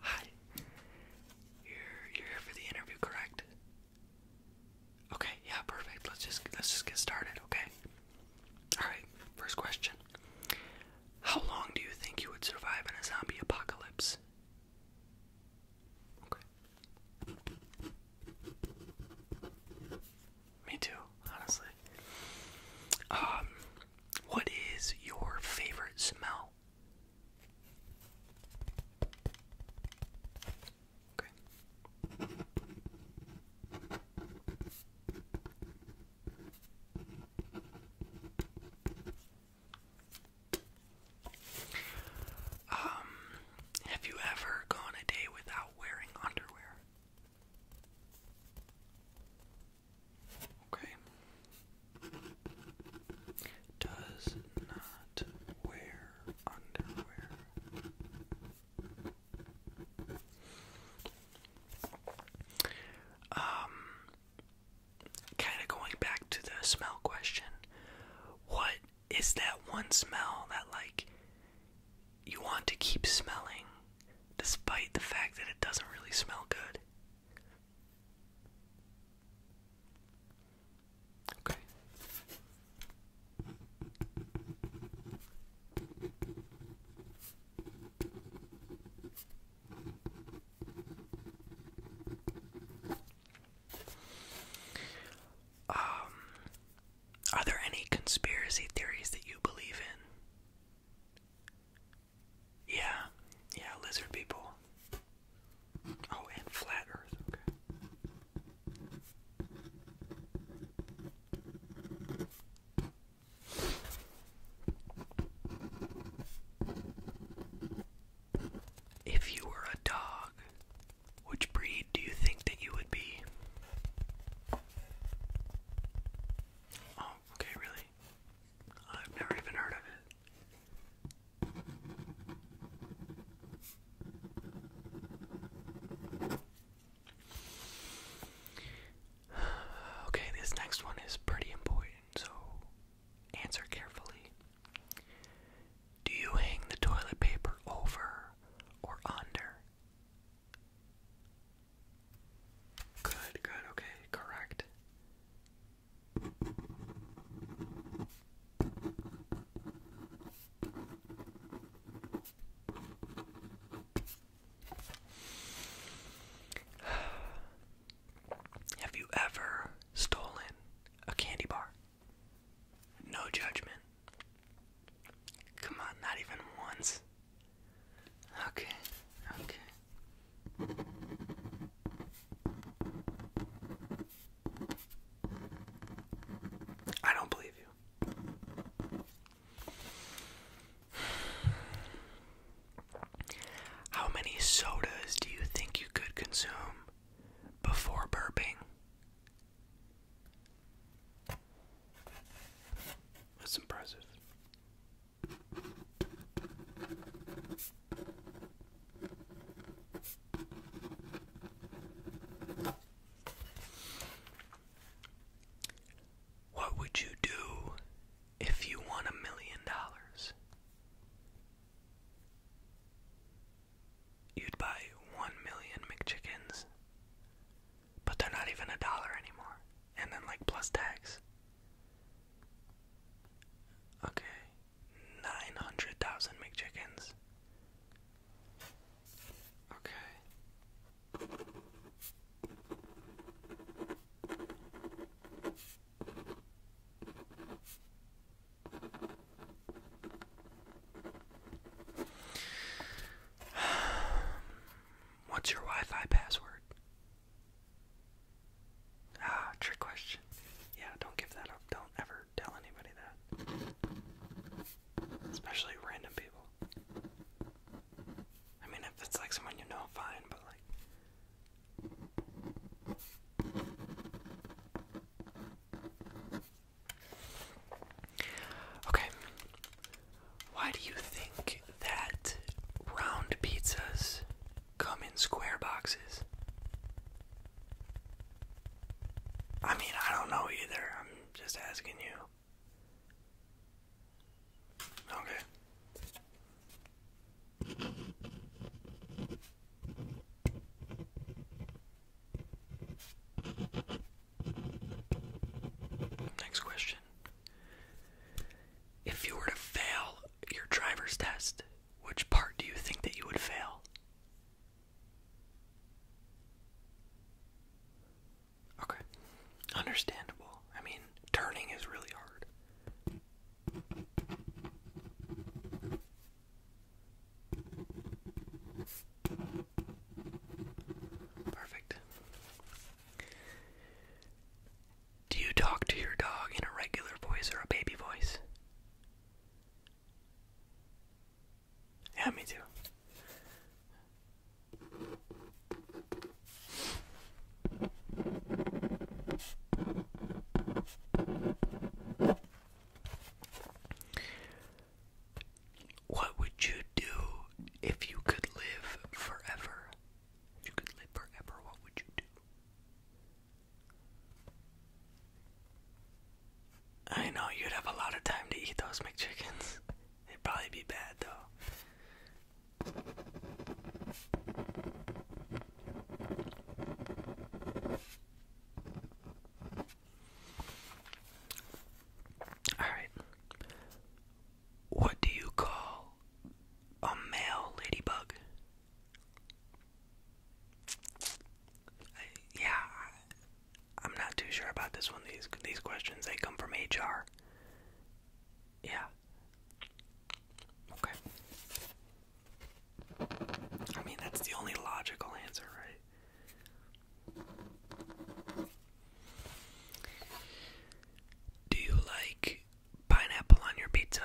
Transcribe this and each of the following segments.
Hi. You're you're here for the interview, correct? Okay, yeah, perfect. Let's just let's just get started, okay? Alright, first question. How long do you think you would survive in a zombie apocalypse? Me too, honestly. Um, what is your favorite smell? Um, have you ever gone a day without wearing underwear? Okay. Does not wear underwear. Um, kind of going back to the smell question. What is that one smell that like you want to keep smelling despite the fact that it doesn't really smell good. Okay. Um, are there any conspiracy theories that you believe in? Yeah, yeah, lizard people. Oh, and flat earth, okay. If you were a dog, which breed do you think that you would be? Oh, okay, really? I've never even heard of it. Okay, this next one is pretty important, so answer carefully. Do you hang the toilet paper over or under? Good, good, okay, correct. Have you ever stolen a candy bar? No judgment. Come on, not even once. Okay, okay. I don't believe you. How many sodas do you think you could consume before burping. That's impressive. What would you do if you won a million dollars? you'd buy one million McChickens, but they're not even a dollar anymore. And then, like, plus tax. Okay, 900,000 McChickens. Okay. What's your Wi Fi password? Ah, trick question. Yeah, don't give that up. Don't ever tell anybody that. Especially random people. I mean, if it's like someone you know, fine, but like, Okay. Why do you think that round pizzas come in square boxes? I mean, I don't know either. I'm just asking you. Okay. Next question. If you were to fail your driver's test, which part do you think that you would fail? Okay. Understandable. I mean, turning is really hard. Perfect. Do you talk to your dog in a regular voice or a baby voice? me too. What would you do if you could live forever? If you could live forever, what would you do? I know you'd have a lot of time to eat those McChickens. It'd probably be bad though. Alright. What do you call a male ladybug? I, yeah, I'm not too sure about this one. These these questions they come from HR. Yeah. Okay. I mean, that's the only logical answer, right? Do you like pineapple on your pizza?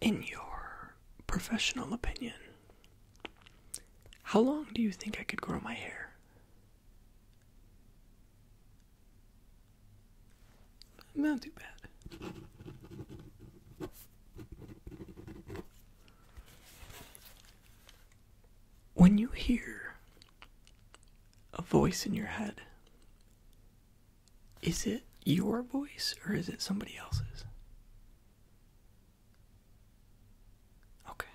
in your professional opinion, how long do you think I could grow my hair? Not too bad. When you hear a voice in your head, is it your voice or is it somebody else's? Okay.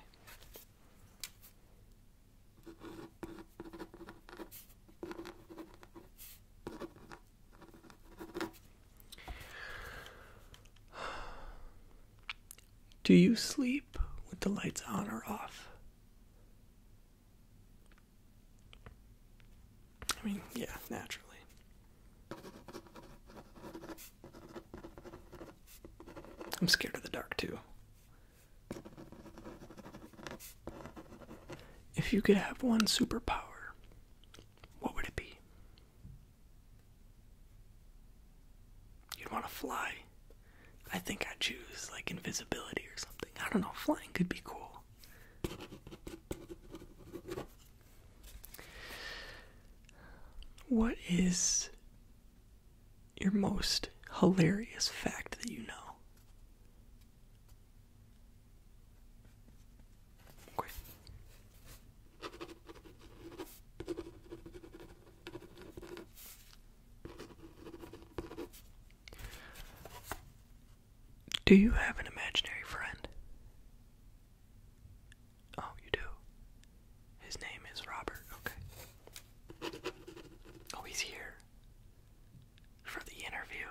Do you sleep with the lights on or off? I mean, yeah, naturally. I'm scared of the dark too. If you could have one superpower, what would it be? You'd want to fly. I think I'd choose like invisibility or something. I don't know, flying could be cool. What is your most hilarious fact that you know? Do you have an imaginary friend? Oh, you do. His name is Robert. Okay. Oh, he's here for the interview.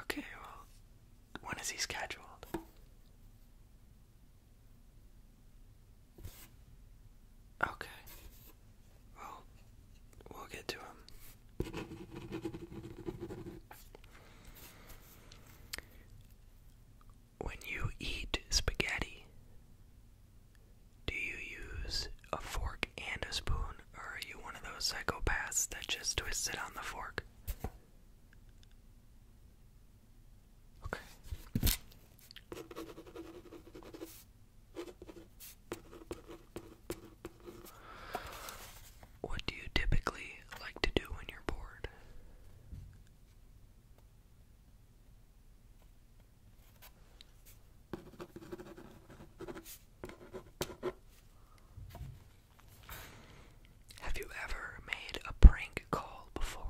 Okay, well, when is he scheduled? Okay. Well, we'll get to him. When you eat spaghetti, do you use a fork and a spoon, or are you one of those psychopaths that just twists it on the fork? Okay. What do you typically like to do when you're bored? Have you ever made a prank call before?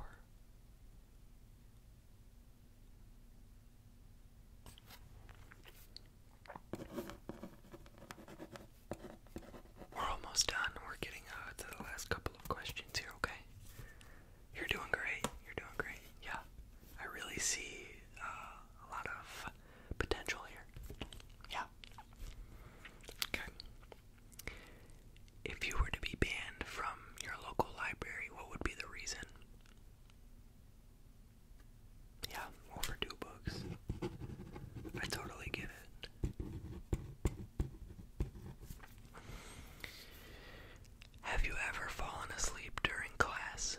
We're almost done. We're getting uh, to the last couple of questions here, okay? You're doing great. You're doing great. Yeah. I really see uh, a lot of potential here. Yeah. Okay. If you were to be banned from your local library, what would be the reason? Yeah, over two books. I totally get it. Have you ever fallen asleep during class?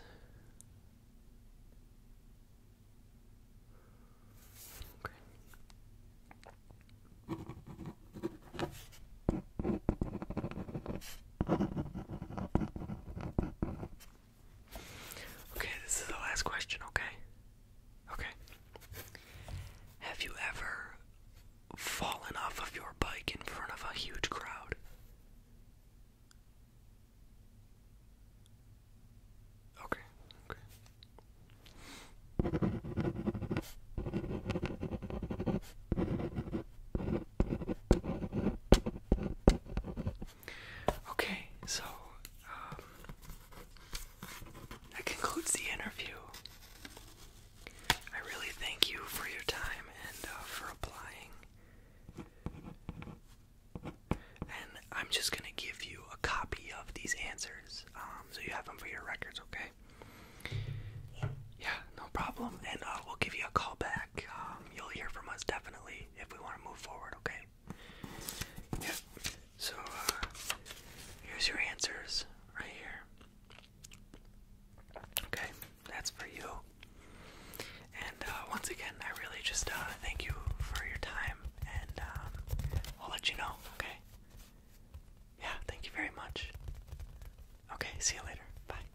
Okay, this is the last question, okay? Okay. Have you ever fallen off of your bike in front of a huge crowd? Okay, Okay, so um, that concludes the interview. I really thank you for your time and uh, for applying. And I'm just gonna give you a copy of these answers, um, so you have them for your records, okay? Yeah, no problem. And uh, we'll give you a call back. Um, um, you'll hear from us definitely if we want to move forward, okay? Yeah. So, uh, here's your answers right here. Okay, that's for you. And uh, once again, I really just uh, thank you for your time, and um, I'll let you know, okay? Yeah, thank you very much. Okay, see you later. Bye.